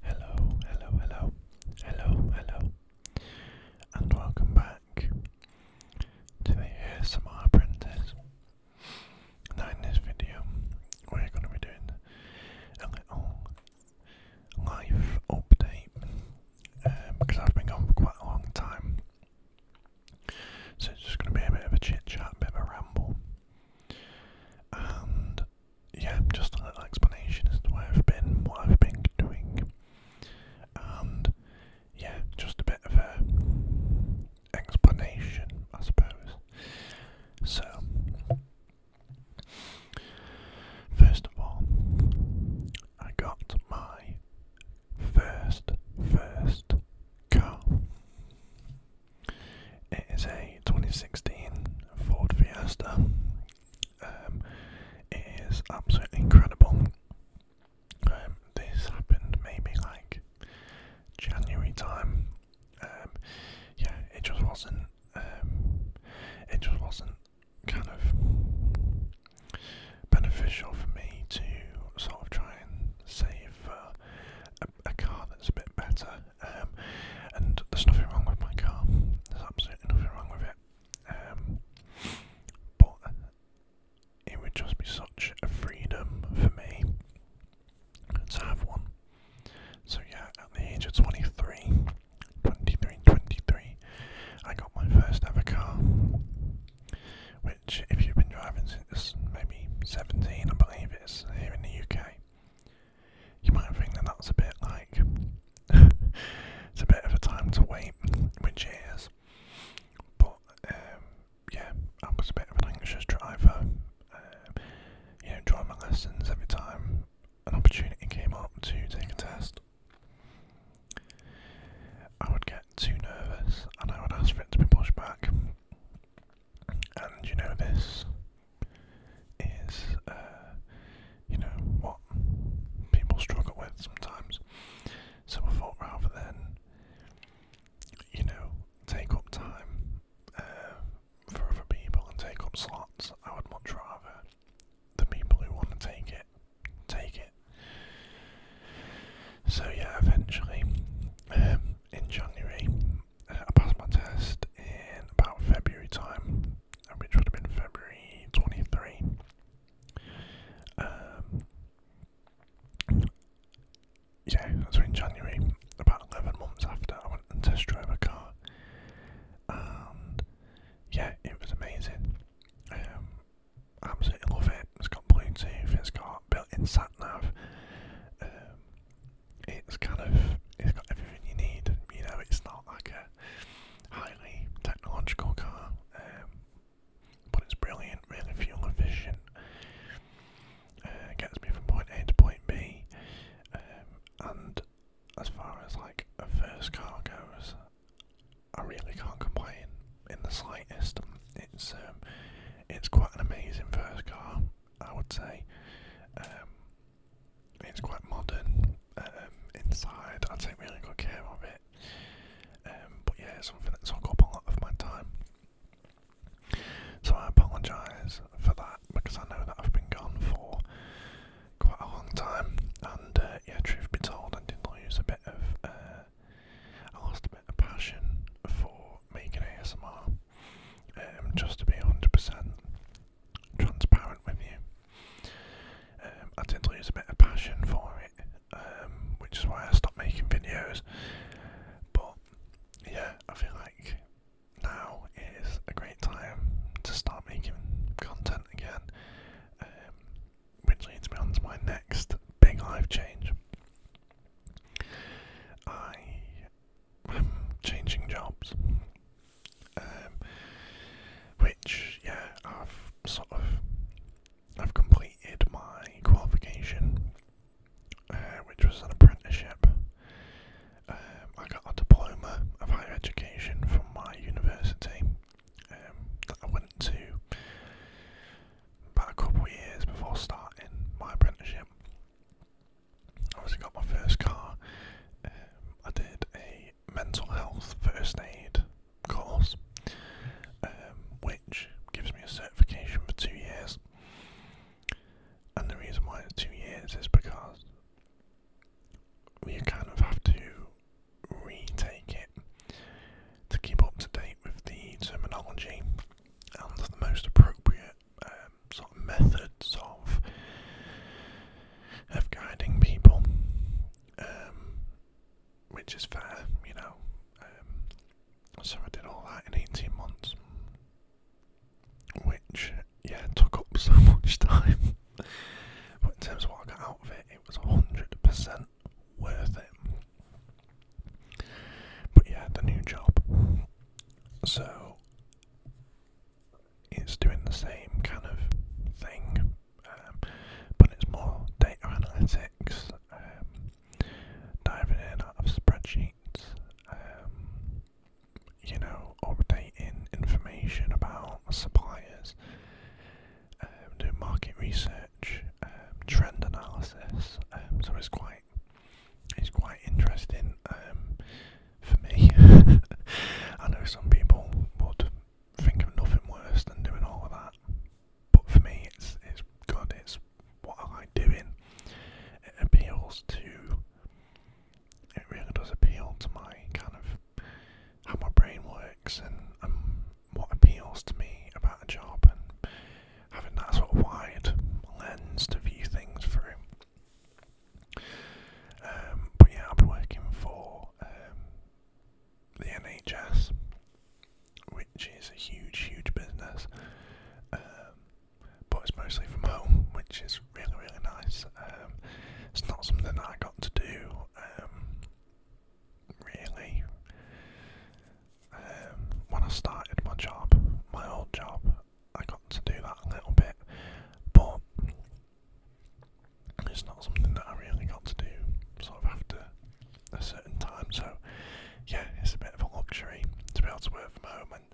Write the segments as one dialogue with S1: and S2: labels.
S1: Hello, hello, hello, hello, hello, and welcome back to the ASMR Apprentice. Now, in this video, we're going to be doing a little life update because um, I've been gone for quite a long time. So, it's just going to be a bit of a chit chat, a bit of a ramble, yeah, just a little explanation as to where I've been, what I've been doing, and yeah, just a bit of a explanation, I suppose. So, first of all, I got my first, first call. It is a 2016 Ford Fiesta. Um, it is absolutely incredible. Um, this happened maybe like January time. Um, yeah, it just wasn't. it just wasn't kind of beneficial for me to sort of try and save a car that's a bit better um, and there's nothing wrong with my car. There's absolutely nothing wrong with it. Um, but it would just be such a freedom for me to have one. So yeah, at the age of 23, 23, 23, I got my first ever car. Which, if you've been driving since maybe 17, I believe, it it is here in the UK. You might think that that's a bit like it's a bit of a time to wait, which it is. But um, yeah, I was a bit of an anxious driver. Um, you know, drawing my lessons every time an opportunity came up to take a test. I would get too nervous and I would ask for it to be pushed back. And you know this is, uh, you know, what people struggle with sometimes. So I thought rather than, you know, take up time uh, for other people and take up slots, I would much rather the people who want to take it take it. So yeah, eventually. Um, in January. Uh, I passed my test in about February time, which would have been February 23. Um, yeah, so in January, about 11 months after, I went and test drove a car. yeah, it was amazing. Um, absolutely love it it, has got Bluetooth, it's got built-in sat nav. Um, it's kind of it's got everything you need. You know, it's not like a highly technological car, um, but it's brilliant, really fuel efficient. Uh, gets me from point A to point B, um, and as far as like a first car goes, I really can't complain in the slightest. It's it's quite an amazing first car, I would say. Um, it's quite modern um, inside. I take really good care of it. Um, but yeah, something that's took up a lot of my time. So I apologise for that because I know that I've been gone for quite a long time. And uh, yeah, truth be told, I did lose a bit of uh, I lost a bit of passion for making ASMR. Um, just to be 100% transparent with you, um, I did lose a bit of passion for it, um, which is why I stopped making videos. But yeah, I feel like now is a great time to start making content again. Um, which leads me on to my next big life change. I am changing jobs, um, which yeah, I've sort of I've completed my qualification, uh, which was an apprenticeship. Um, I got a diploma of higher education from my university, um, that I went to about a couple of years before starting my apprenticeship. Obviously, got my first car. Um, I did a mental health first aid course, um, which gives me a certification for two years. And the reason why it's two years is because we kind of have to retake it to keep up to date with the terminology and the most appropriate um, sort of methods of of guiding people, um, which is fair, you know. Um, so I did all that in eighteen months, which yeah took up so much time. but in terms of what I got out of it, it was hundred percent worth it. But yeah, the new job. So it's doing the same kind of thing, um, but it's more data analytics, um, diving in out of spreadsheets, um, you know, updating information about suppliers, um, do market research, um, trend analysis. Um, so it's quite it's quite interesting um, for me. I know some people would think of nothing worse than doing all of that, but for me, it's it's good. It's what I like doing. It appeals to. It really does appeal to my kind of how my brain works and um, what appeals to me about a job, and having that sort of wide lens to view things through. Um, but yeah, I'll be working for um, the NHS, which is a huge, huge business. Um, but it's mostly from home, which is really, really nice. Um, it's not something that I got to do um, really. Um, when I started my job, my old job, I got to do that a little bit, but it's not something that I really got to do sort of after a certain time. So, yeah, it's a bit of a luxury to be able to work from home, and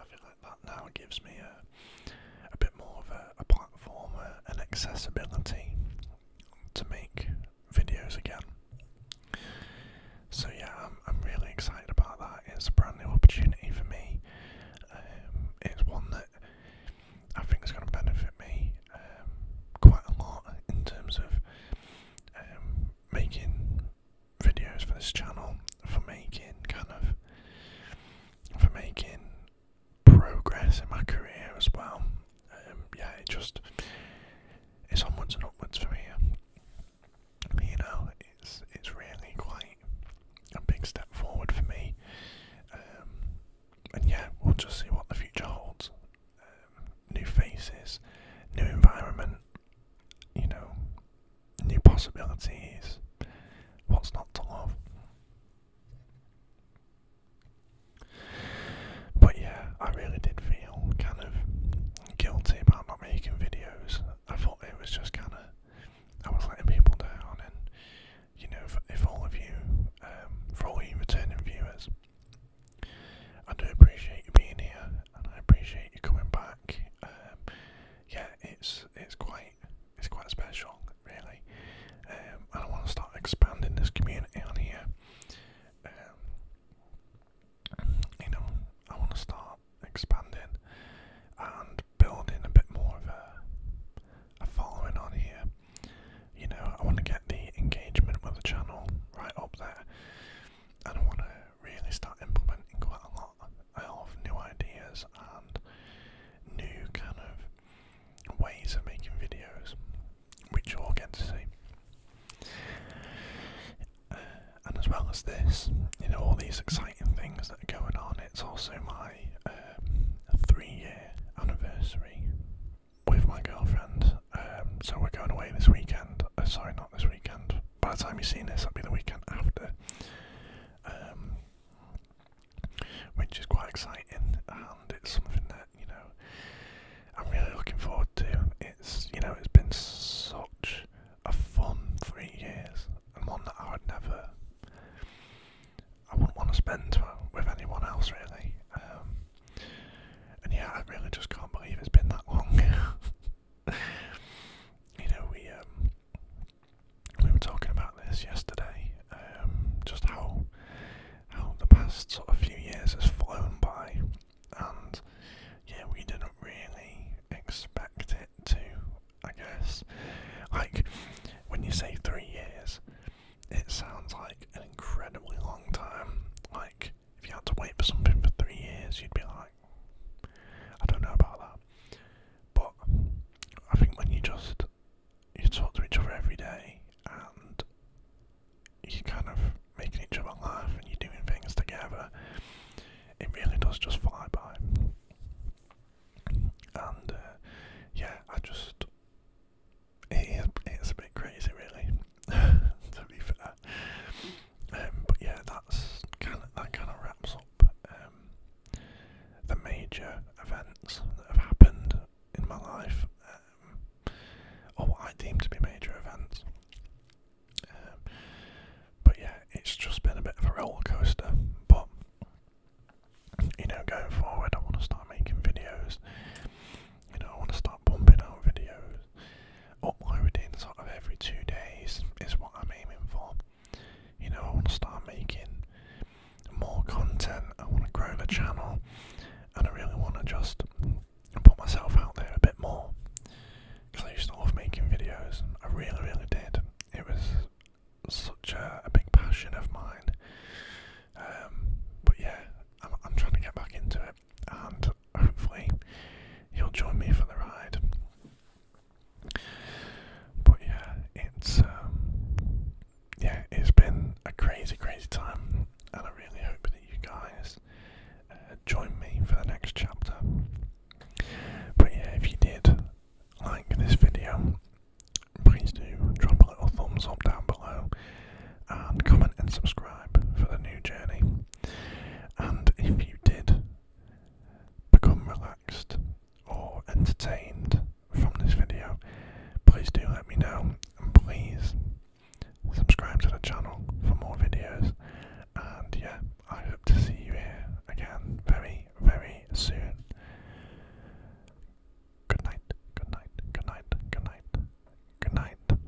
S1: I feel like that now gives me a a bit more of a, platform uh, and accessibility to make videos again. So yeah, I'm, really excited about that. It's a brand new opportunity for me. Um, it's one that I think is going to benefit me um, quite a lot in terms of um, making videos for this channel, for making kind of for making progress in my career as well. Um, yeah, it just it's onwards and upwards for me. You know, it's it's really quite a big step forward for me. Um, and yeah, we'll just see what the future holds. Um, new faces, new environment, you know, new possibilities. What's not to love? But yeah, I really did feel kind of guilty about not making videos. I thought it was just kind of, I was letting people down, and you know, if, all of you, um, for all you returning viewers, I do appreciate you being here, and I appreciate you coming back. Um, yeah, it's it's quite it's quite special, really. Um, and I want to start expanding this community on here. Um, you know, I want to start expanding and building a bit more of a, a following on here. You know, I want to get the engagement with the channel right up there, and I want to really start implementing quite a lot a lot new ideas and new kind of ways of making videos, which you'll get to see. Uh, and as well as this, you know, all these exciting things that are going on, it's also my um, three year anniversary with my girlfriend. Um, so we're going away this weekend. Uh, sorry, not this weekend. By the time you've seen this, that'll be the weekend after. Um, which is quite exciting, and it's something that you know I'm really looking forward to. It's you know it's been such a fun three years, and one that I would never, I wouldn't want to spend with anyone else really. Um, and yeah, I really just can't believe it's been that long. you know we. Um, we were talking about this yesterday, um, just how how the past sort of few years has flown by, and yeah, we didn't really expect it to. I guess, like when you say three years, it sounds like an incredibly long time. Like if you had to wait for something for three years, you'd be like. I don't know about that. But I think when you just you talk to each other every day and you kind of making each other laugh and you're doing things together, it really does just fly by. And uh, yeah, I just it is it's a bit crazy really to be fair. Um, but yeah, that's kind that kind of wraps up um, the major events that have happened in my life, um, or what I deem to be major events. but yeah, it's just been a bit of a roller coaster. But you know, going forward, I want to start making videos. You know, I want to start pumping out videos uploading sort of every two days is what I'm aiming for. You know, I want to start making more content, I want to grow the channel, and I really want to just put myself out there a bit more. Because I used to love making videos, I really, really did. It was such a, big passion of mine. Um, but yeah, I'm trying to get back into it, and hopefully you'll join me for the ride. But yeah, it's um, yeah, it's been a crazy, crazy time, and I really hope that you guys uh, join me for the next chapter. But yeah, if you did like this video, please do drop a little thumbs up down below comment and subscribe for the new journey. And if you did become relaxed or entertained from this video, please do let me know please subscribe to the channel for more videos. And yeah, I hope to see you here again very, very soon. Good night, good night, good night, good night, good night.